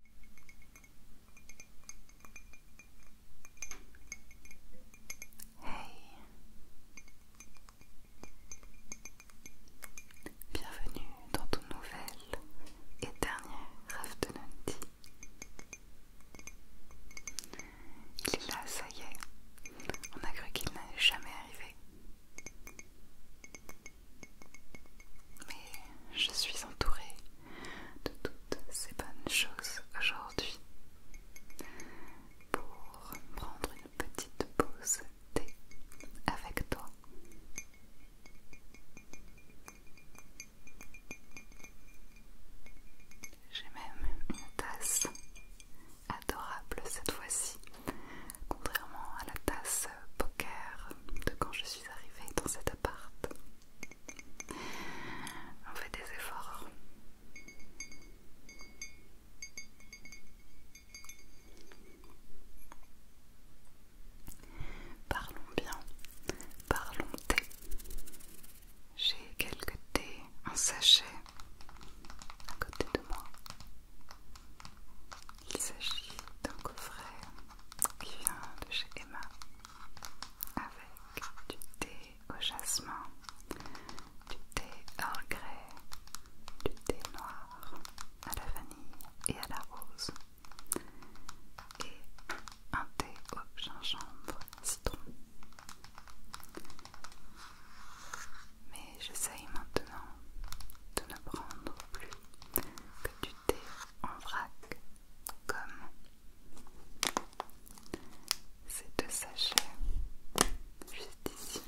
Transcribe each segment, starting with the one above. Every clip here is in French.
Hey Bienvenue dans ton nouvel et dernier rêve de Il est là, ça y est. On a cru qu'il n'allait jamais arriver. Mais je suis entourée de toutes ces bonnes choses aujourd'hui pour prendre une petite pause thé avec toi. J'ai même une tasse adorable cette fois-ci, contrairement à la tasse poker de quand je suis arrivée dans cet appart. On fait des efforts. Parlons bien, parlons thé. J'ai quelques thés un sachet à côté de moi. Il s'agit d'un coffret qui vient de chez Emma avec du thé au jasmin, du thé à regret, du thé noir à la vanille et à la rose et un thé au gingembre citron. Mais j'essaye maintenant de ne prendre plus que du thé en vrac comme ces deux sachets juste ici.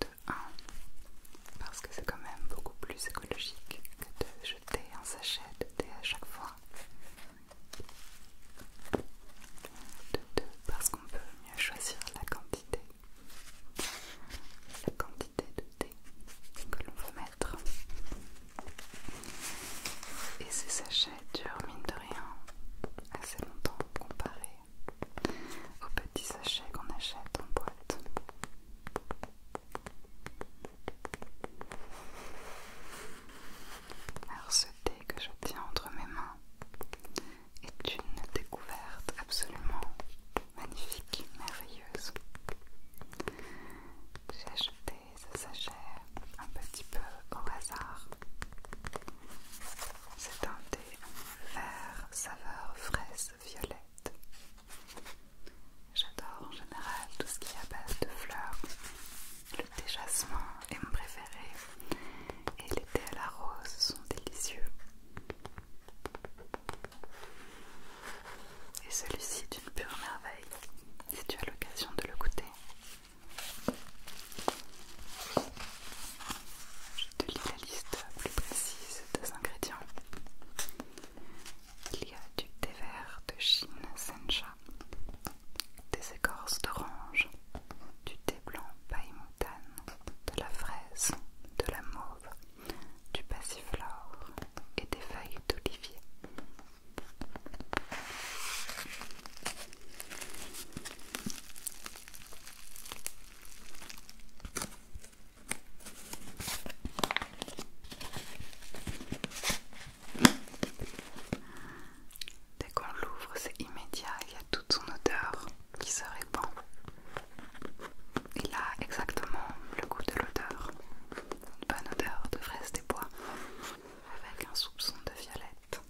De 1 parce que c'est quand même beaucoup plus écologique que de jeter un sachet de thé à chaque fois de deux parce qu'on peut mieux choisir la quantité la quantité de thé que l'on veut mettre et ces sachets durent mine de rien assez longtemps comparé aux petits sachets qu'on achète en boîte alors ce thé que je tiens entre mes mains est une découverte absolument magnifique, merveilleuse. J'ai acheté ce sachet un petit peu au hasard. C'est un thé vert saveur fraise violette. J'adore en général tout ce qui est à base de fleurs, le thé jasmin est mon préféré et les thé à la rose sont délicieux. Et celui-ci est une pure merveille si tu as l'occasion de le goûter. Je te lis la liste plus précise des ingrédients. Il y a du thé vert de Chine Sencha, des écorces d'orange, du thé blanc paille montane, de la fraise, de la mauve, du passiflore et des feuilles d'olivier. Dès qu'on l'ouvre, c'est immédiat, il y a toute son odeur qui se répand. Il a exactement le goût de l'odeur. Une bonne odeur de fraise des bois avec un soupçon de violette.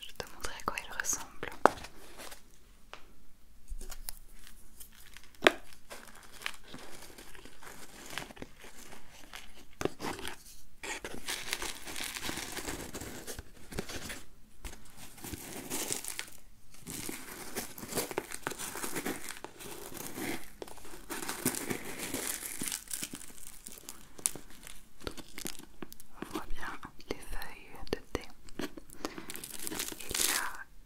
Je te montrerai à quoi il ressemble. On voit bien les feuilles de thé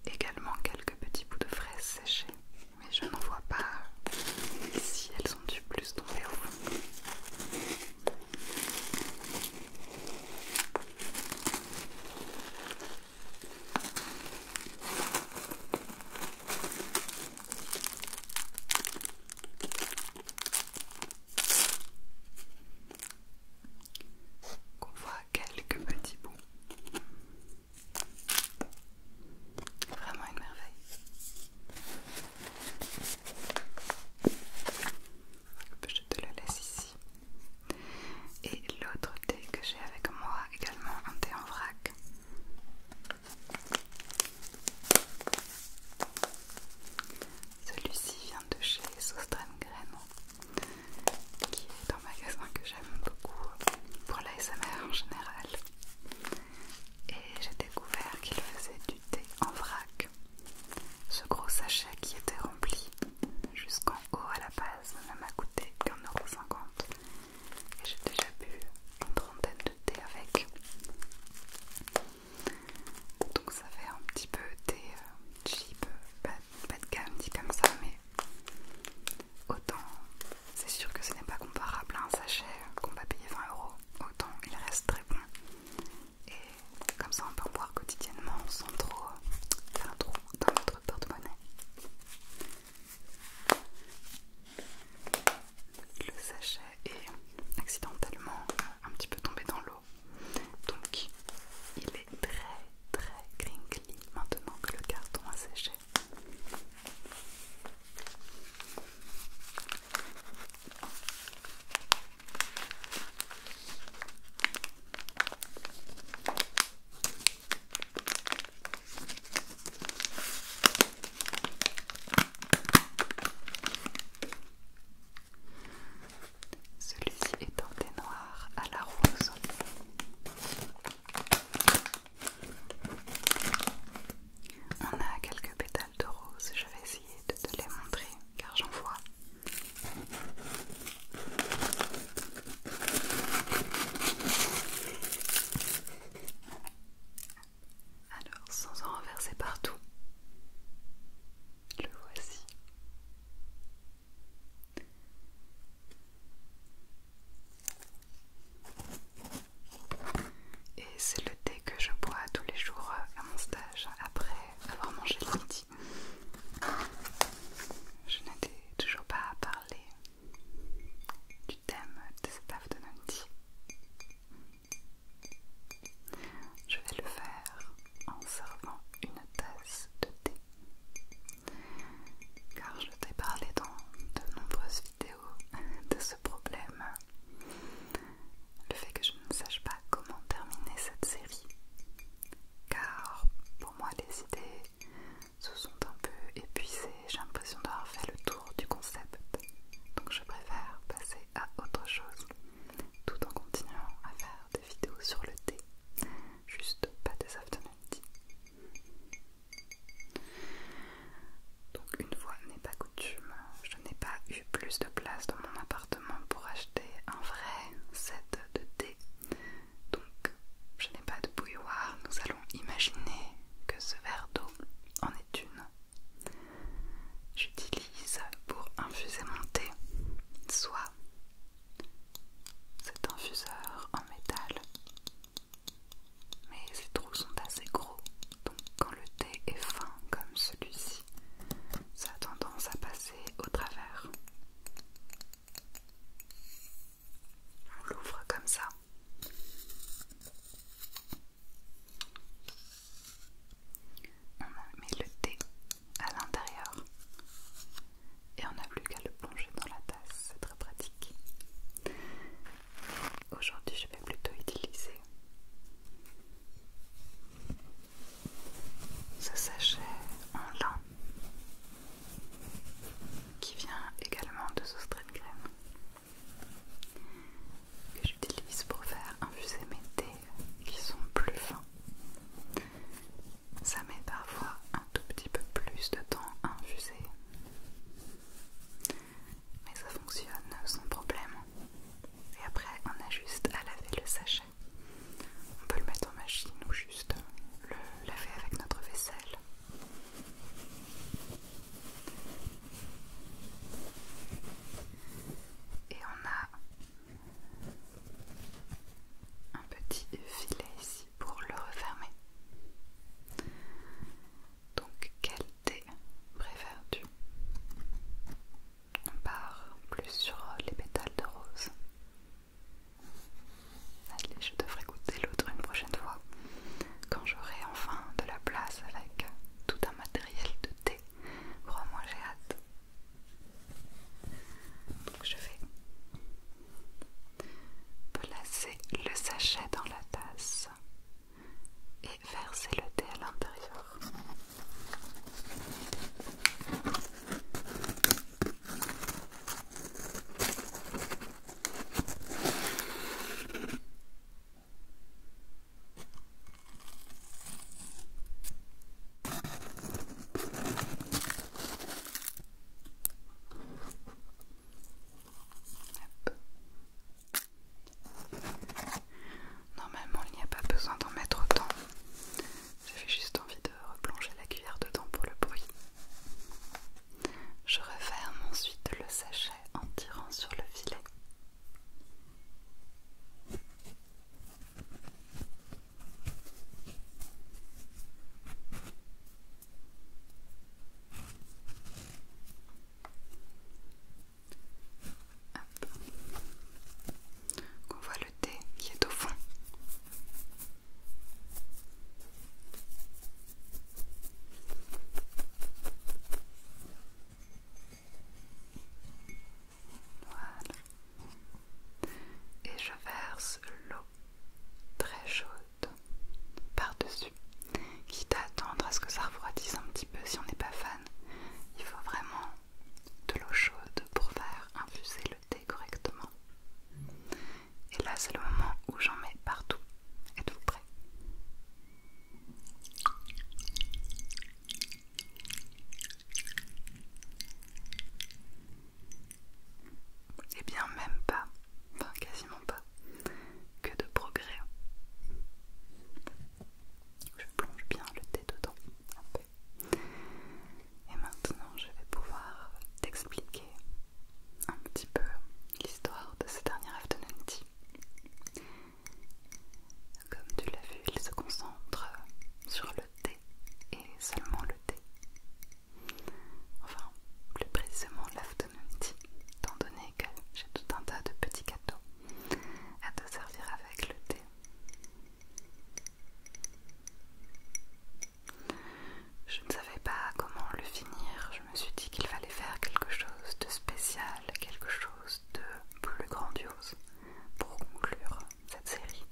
il y a également quelques petits bouts de fraises séchées, mais je n'en vois pas si elles ont du plus dans au fond qu'on voit quelques petits bouts. Vraiment une merveille. Je te le laisse ici. Et l'autre thé que j'ai avec moi, également un thé en vrac. Celui-ci vient de chez Soustrain Graines qui est un magasin que j'aime beaucoup pour l'ASMR en général. Et j'ai découvert qu'il faisait du thé en vrac. Ce gros sachet qui était rempli jusqu'en haut à la base ne m'a coûté qu'un euro cinquante. Et j'ai déjà bu une trentaine de thé avec donc ça fait un petit peu des cheap euh, chips pas, de gamme dit comme ça mais autant c'est sûr que ce n'est pas comparable à un sachet qu'on va payer 20 euros autant il reste très bon et comme ça on peut en boire quotidiennement sans trop faire un trou dans notre porte-monnaie le sachet est accidentellement un petit peu tombé dans l'eau donc il est très très crinkly maintenant que le carton a séché. Celui-ci est des noir à la rose. On a quelques pétales de rose, je vais essayer de te les montrer car j'en vois. Alors, sans en renverser partout, le voici. Et c'est le thé que je bois tous les jours euh, à mon stage après avoir mangé le midi. Je n'étais toujours pas à parler du thème de cet de je vais le faire en servant une tasse de thé. Car je t'ai parlé dans de nombreuses vidéos de ce problème. Le fait que je ne sache pas comment terminer cette série. Car pour moi les idées se sont un peu épuisées. J'ai l'impression d'avoir fait le tour du concept. Donc je préfère passer à autre chose tout en continuant à faire des vidéo sur le thé, juste pas des Donc une voix n'est pas coutume, je n'ai pas eu plus de place dans mon appartement pour acheter un vrai set de thé. Donc je n'ai pas de bouilloire, nous allons imaginer que ce verre d'eau en est une j'utilise pour infuser mon thé, soit cet infuseur en métal, mais ces trous sont assez gros, donc quand le thé est fin comme celui-ci, ça a tendance à passer au travers. On l'ouvre comme ça. On a mis le thé à l'intérieur et on n'a plus qu'à le plonger dans la tasse, c'est très pratique. Aujourd'hui, je vais plutôt utiliser ce sachet en lin qui vient également de de Crème que j'utilise pour faire infuser mes thés qui sont plus fins. Ça met parfois un tout petit peu plus de temps à infuser. Mais ça fonctionne sans problème. Et après, on a juste à laver le sachet. On peut le mettre en machine ou juste le laver avec notre vaisselle. Et on a un petit filet ici pour le refermer. Donc quel thé préfères-tu On part plus sur les pétales de rose. Allez, je devrais goûter l'autre une prochaine fois quand j'aurai enfin de la place avec tout un matériel de thé Crois-moi, j'ai hâte. je vais placer le sachet dans la tasse et verser le thé à l'intérieur. Normalement, il n'y a pas besoin d'en mettre autant. J'avais juste envie de replonger la cuillère dedans pour le bruit. Je referme ensuite le sachet en tirant sur le filet. On voit le thé qui est au fond. Voilà. Et je verse l'eau très chaude par-dessus, quitte à attendre à ce que ça refroidisse un petit peu si on n'est pas fan. Il faut vraiment de l'eau chaude pour faire infuser le thé correctement. Et là, c'est le moment où j'en mets partout. Êtes-vous prêts et eh bien même pas, enfin quasiment pas, que de progrès. Je plonge bien le thé dedans un peu. Et maintenant je vais pouvoir t'expliquer un petit peu l'histoire de ces dernier afternoon tea. Comme tu l'as vu, il se concentre sur le thé et seulement le thé. Enfin, plus précisément l'afternoon tea, étant donné que j'ai tout un tas de petits gâteaux à te servir avec le thé. Je ne savais pas comment le finir, je me suis dit qu'il fallait faire quelque chose de spécial, quelque chose de plus grandiose pour conclure cette série.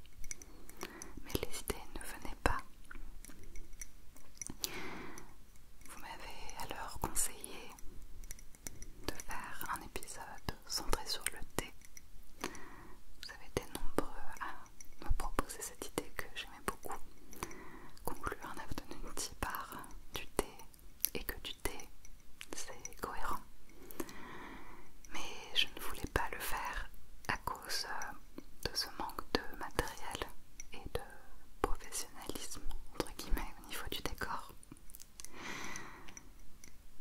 Mais les idées ne venaient pas. Vous m'avez alors conseillé de faire un épisode centré sur le thé. Vous avez été nombreux à me proposer cette idée que j'aimais beaucoup. Conclure un afternoon tea par du thé et que du thé, c'est cohérent. Mais je ne voulais pas le faire à cause euh, de ce manque de matériel et de professionnalisme, entre guillemets, au niveau du décor.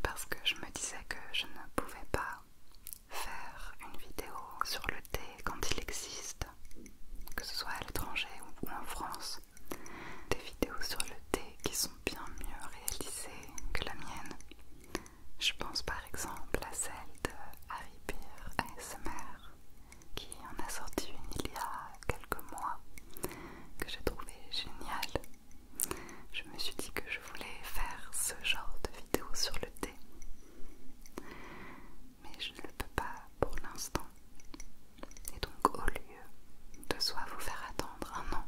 Parce que je me disais que je ne pouvais pas faire une vidéo sur le thé quand il existe, que ce soit à l'étranger ou en France, des vidéos sur le thé qui sont bien mieux réalisées que la mienne. Je pense par exemple à celle de Harry Beer ASMR qui en a sorti une il y a quelques mois que j'ai trouvé géniale. Je me suis dit que je voulais faire ce genre de vidéo sur le thé. Mais je ne le peux pas pour l'instant. Et donc au lieu de soit vous faire attendre un an,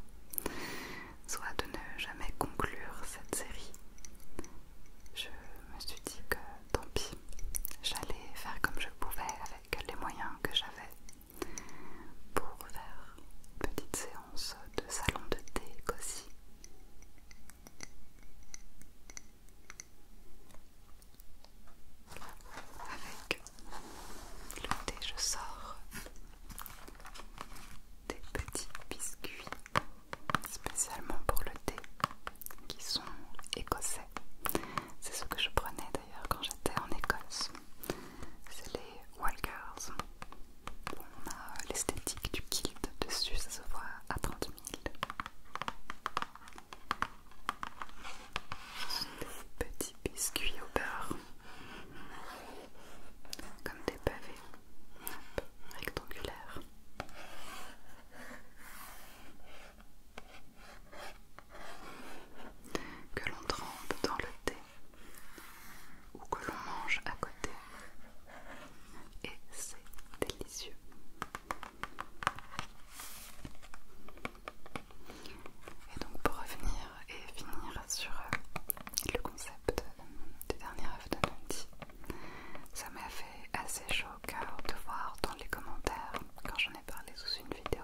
soit de ne jamais conclure cette série. Je me suis dit que tant pis, j'allais faire comme je pouvais avec les moyens que j'avais pour faire une petite séance de salon de thé cosy. Avec le thé, je sors des petits biscuits spécialement pour le thé qui sont écossais. C'est ce que je prenais d'ailleurs quand j'étais en Écosse. C'est les Walkers. on a euh, l'esthétique du kilt dessus, ça se voit à 30 000. Des petits biscuits au beurre comme des pavés rectangulaires. Que l'on trempe dans le thé ou que l'on mange à côté, et c'est délicieux. Et donc pour revenir et finir sur euh, le concept de du dernier de lundi ça m'a fait assez chaud de voir dans les commentaires, quand j'en ai parlé sous une vidéo,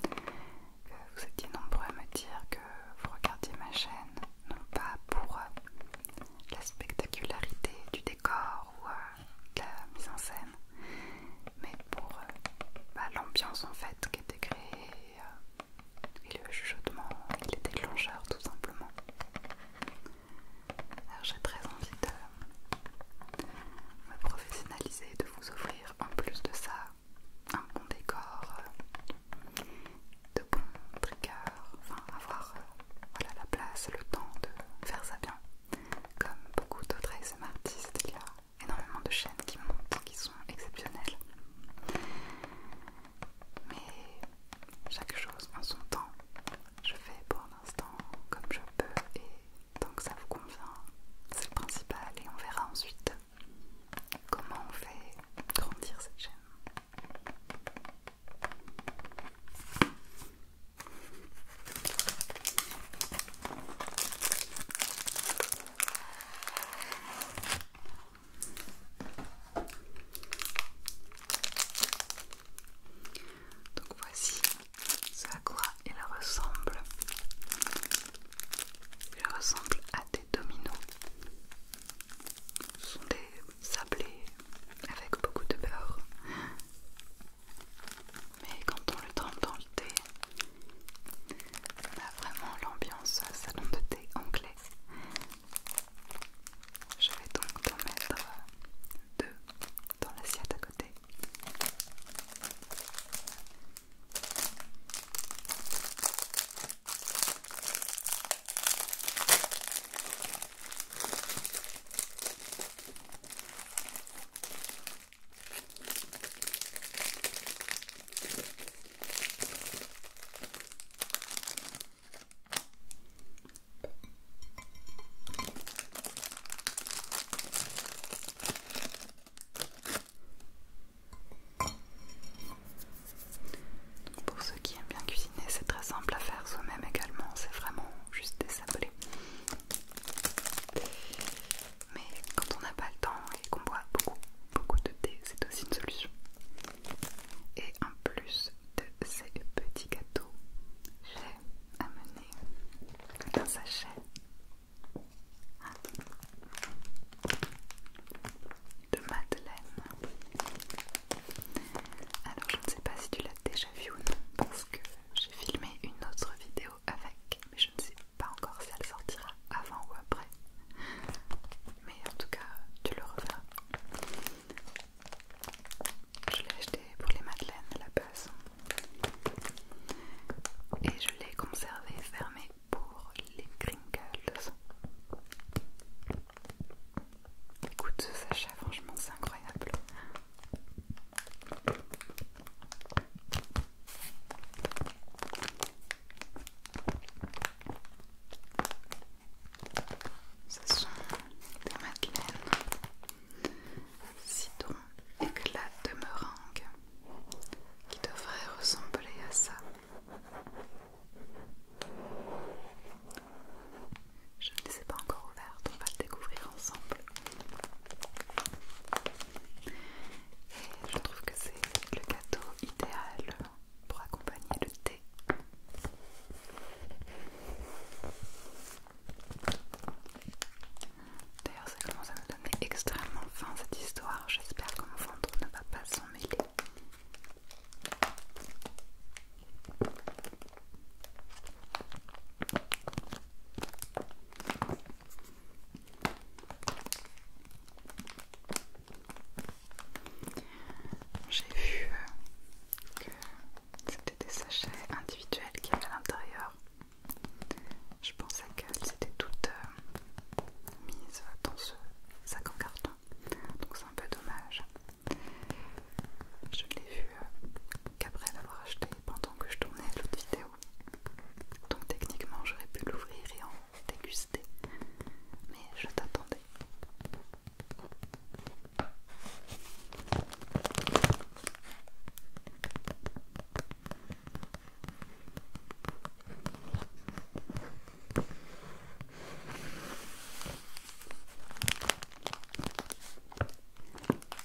que vous étiez nombreux à me dire que vous regardiez ma chaîne, non pas pour euh, la spectacularité du décor ou euh, de la mise en scène, mais pour bah, l'ambiance en fait qui était créée euh, et, le chuchotement et les déclencheurs tout simplement. Alors j'ai très envie de me professionnaliser de vous offrir en plus de ça un bon décor, euh, de bons triggers, enfin avoir euh, la place, le temps de faire ça bien. Comme beaucoup d'autres SMARTistes artistes, il y a énormément de chaînes qui montent, qui sont exceptionnelles. Mais chaque chose en son temps. Je fais pour l'instant comme je peux et tant que ça vous convient, c'est le principal et on verra ensuite comment on fait grandir cette chaîne. Donc voici ce à quoi il ressemble. Il ressemble à des dominos. Ce sont des sablés avec beaucoup de beurre. Mais quand on le trempe dans le thé, on a vraiment l'ambiance salon de thé anglais. Je vais donc en mettre euh, deux dans l'assiette à côté. Pour ceux qui aiment bien cuisiner, c'est très simple à faire soi-même également, c'est vraiment juste des sablés. Mais quand on n'a pas le temps et qu'on boit beaucoup, beaucoup de thé, c'est aussi une solution. Et en plus de ces petits gâteaux, j'ai amené un sachet. De madeleine. Alors je ne sais pas si tu l'as déjà vu ou non parce que j'ai filmé une autre vidéo avec, mais je ne sais pas encore si elle sortira avant ou après. Mais en tout cas, tu le reverras. Je l'ai acheté pour les madeleines à la base. Et je l'ai conservé fermé pour les crinkles. Écoute ce sachet, franchement c'est incroyable. Ce sont des madeleines citron éclat de meringue qui devraient ressembler à ça. Je ne les ai pas encore ouvertes, on va le découvrir ensemble. Je trouve que c'est le gâteau idéal pour accompagner le thé. D'ailleurs, ça commence à me donner extrêmement faim cette histoire. J'espère que mon ventre ne va pas s'en mêler. J'ai vu euh, que c'était des sachets individuels qui avait à l'intérieur. Je pensais qu'elles étaient toutes euh, mises dans ce sac en carton, donc c'est un peu dommage. Je ne l'ai vu euh, qu'après l'avoir acheté pendant que je tournais l'autre vidéo. Donc techniquement j'aurais pu l'ouvrir et en déguster. Mais je t'attendais.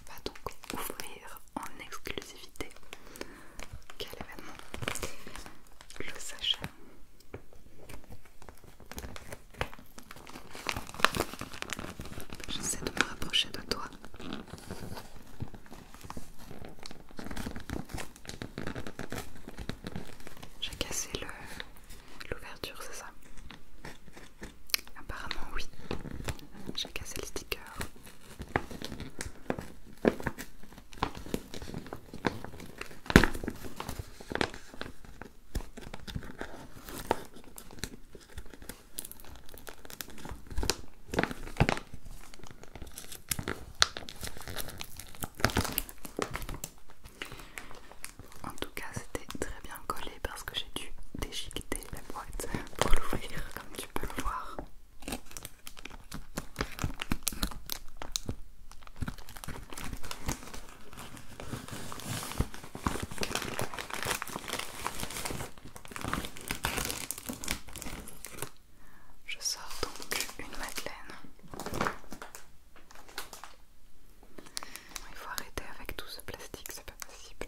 Va donc ouvrir en exclusivité. Quel événement Le sachet. J'essaie de me rapprocher de toi. J'ai cassé l'ouverture, c'est ça Apparemment oui. J'ai cassé le sticker. En tout cas, c'était très bien collé parce que j'ai dû déchiqueter la boîte pour l'ouvrir, comme tu peux le voir. Je sors donc une madeleine. Il faut arrêter avec tout ce plastique, c'est pas possible.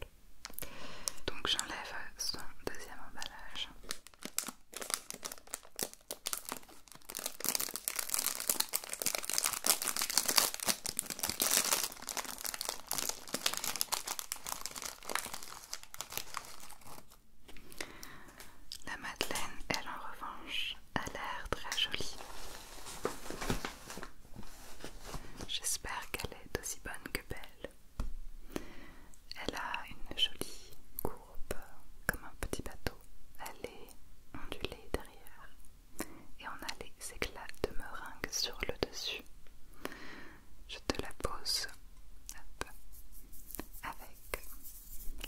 Donc j'enlève son deuxième emballage. La madeleine, elle en revanche, a l'air très jolie. J'espère qu'elle est aussi bonne que belle. Elle a une jolie courbe comme un petit bateau. Elle est ondulée derrière et on a les éclats de meringue sur le dessus. Je te la pose avec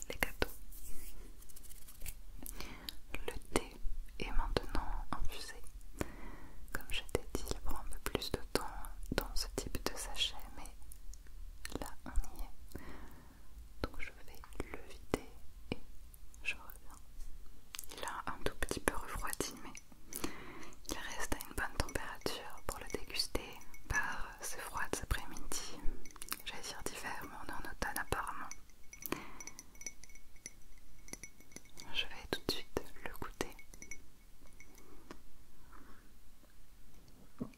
les gâteaux. Le thé est maintenant infusé. Comme je t'ai dit, il prend un peu plus de temps dans ce type de sachet, mais là on y est. Donc je vais le vider et je reviens. Il a un tout petit peu refroidi, mais il reste à une bonne température pour le déguster par ces froides après-midi. J'allais dire d'hiver, mais on est en automne apparemment. Je vais tout de suite le goûter. Donc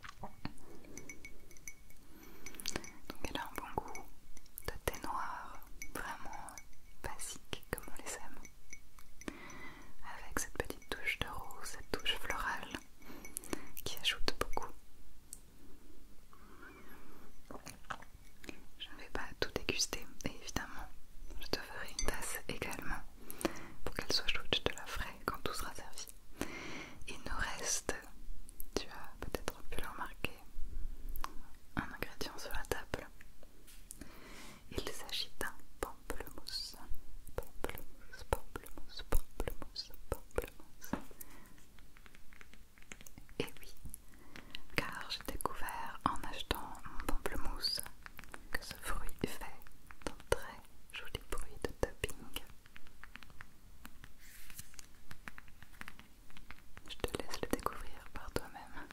elle a un bon goût de thé noir, vraiment basique comme on les aime, avec cette petite touche de rose, cette touche florale qui ajoute beaucoup. Je ne vais pas tout déguster et évidemment je te ferai une tasse également pour qu'elle soit chaude, je te la ferai quand tout sera servi. Il nous reste, tu as peut-être pu le remarquer, un ingrédient sur la table. Il s'agit d'un pamplemousse. Pamplemousse, pamplemousse, pamplemousse, pamplemousse. Et oui, car j'ai découvert en achetant mon pamplemousse que ce fruit fait un très joli bruit de tapping. Je te laisse le découvrir par toi-même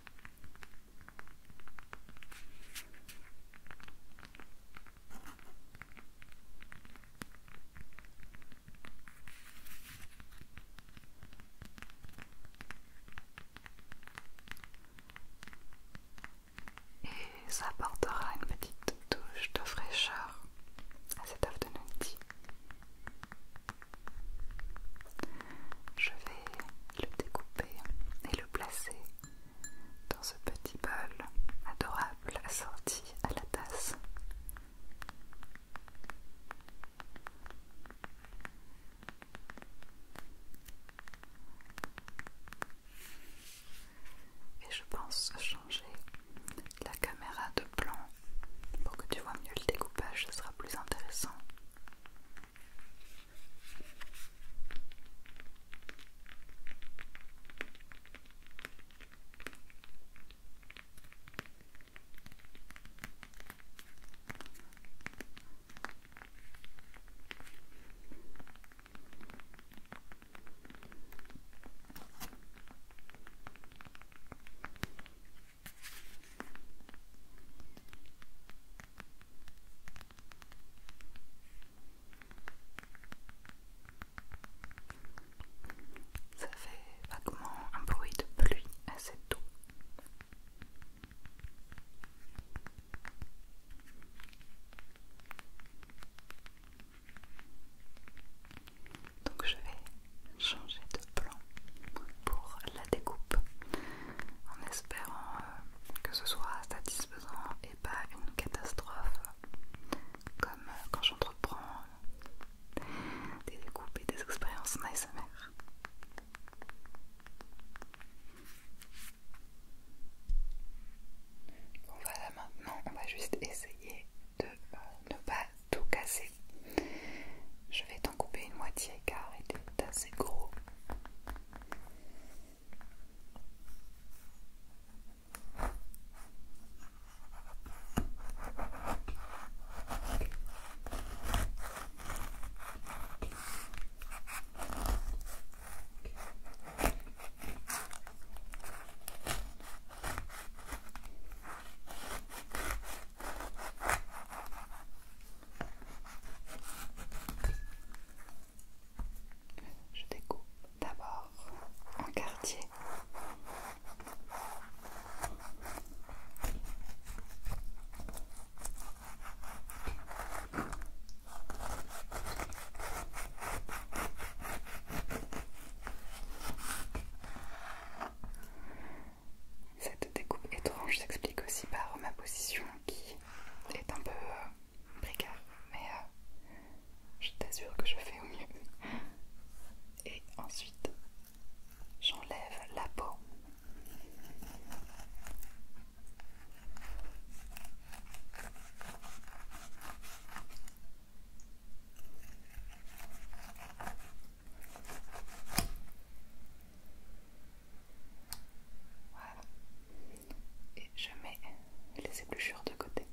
et ça apportera une petite touche de fraîcheur à cet de tea. Je vais le découper et le placer dans ce petit bol adorable assorti à la tasse. Et je pense changer la caméra de plan pour que tu vois mieux le découpage, ce sera plus intéressant. Ça fait vaguement un bruit de pluie assez tôt. Donc je vais changer de plan pour la découpe en espérant euh, que ce soit satisfaisant et pas une catastrophe comme euh, quand j'entreprends des découpes et des expériences en voilà, maintenant on va juste essayer de euh, ne pas tout casser. Je vais t'en couper une moitié car il est assez gros. Je découpe d'abord un quartier. Cette découpe étrange s'explique aussi par ma position qui est un peu euh, mais euh, je t'assure que je fais au mieux. Et ensuite, j'enlève la peau. Voilà. Et je mets les épluchures de côté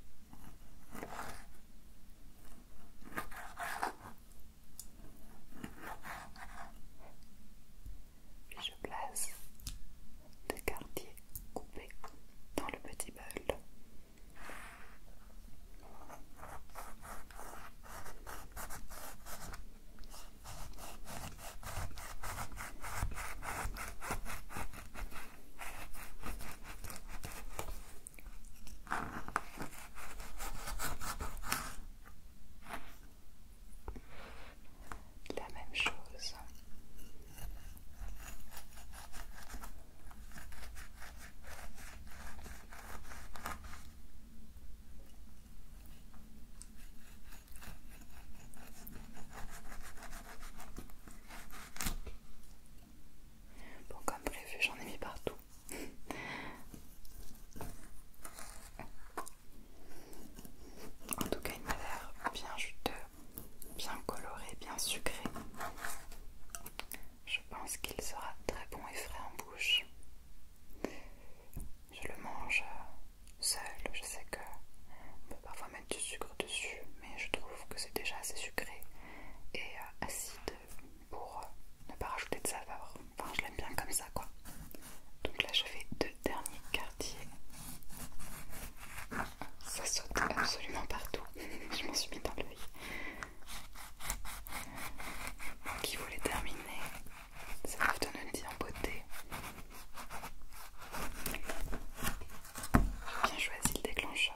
je place le quartiers coupés dans le petit bol la même chose. Bon, comme prévu, j'en ai mis partout. En tout cas, il m'a l'air bien juteux, bien coloré, bien sucré. Je pense qu'il sera très bon et frais en bouche. Je le mange euh, seul, je sais qu'on peut parfois mettre du sucre dessus, mais je trouve que c'est déjà assez sucré et euh, acide pour euh, ne pas rajouter de saveur je l'aime bien comme ça, quoi. Donc là, je fais deux derniers quartiers. Ça saute absolument partout. je m'en suis mis dans l'œil. Qui voulait terminer Ça va donne une en beauté. Bien choisi le déclencheur.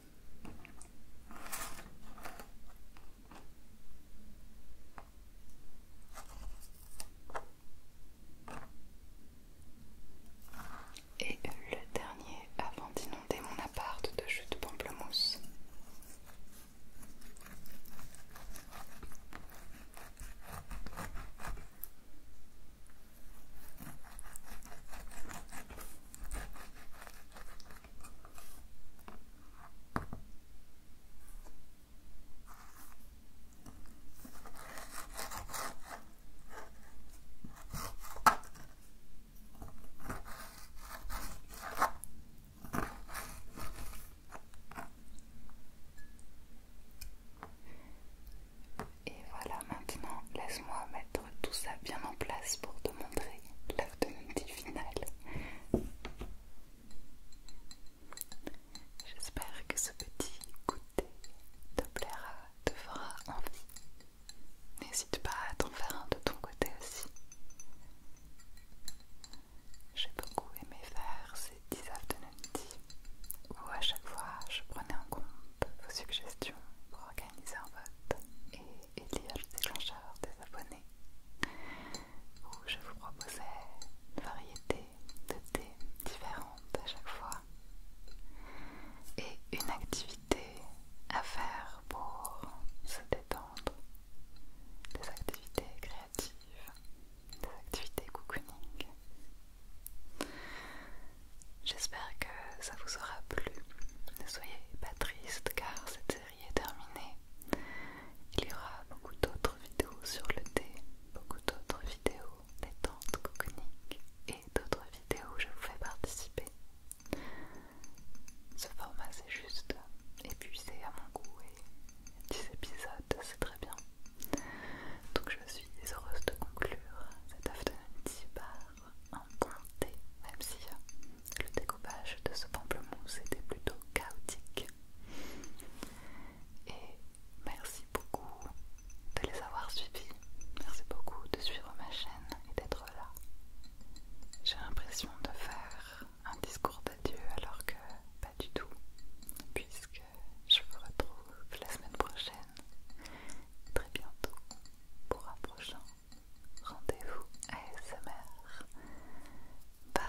Et le dernier avant d'inonder mon appart de jus de pamplemousse. Et voilà, maintenant laisse-moi mettre tout ça bien en place pour te montrer l'afternoon final J'espère que ce petit goûter te plaira, te fera envie. N'hésite pas à t'en faire un de ton côté aussi. J'ai beaucoup aimé faire ces 10 afternoon où à chaque fois je prenais en compte vos suggestions pour organiser un vote et et le déclencheur des abonnés où je vous proposais une variété de thés différentes à chaque fois et une activité à faire pour se détendre, des activités créatives, des activités cocooning. J'espère que ça vous aura plu. Ne soyez pas triste car cette série est terminée. Il y aura beaucoup d'autres vidéos sur le thé, beaucoup d'autres vidéos tentes coconiques et d'autres vidéos où je vous fais participer. Ce format c'est juste épuisé à mon goût et 10 épisodes c'est très bien. Donc je suis heureuse de conclure cet afternoon tea bar en pointé même si euh, le découpage de ce pamplemousse était plutôt chaotique. Et merci beaucoup de les avoir suivis, merci beaucoup de suivre ma chaîne et d'être là. J'ai l'impression de faire un discours d'adieu alors que pas du tout, puisque je vous retrouve la semaine prochaine, très bientôt, pour un prochain rendez-vous ASMR. Bye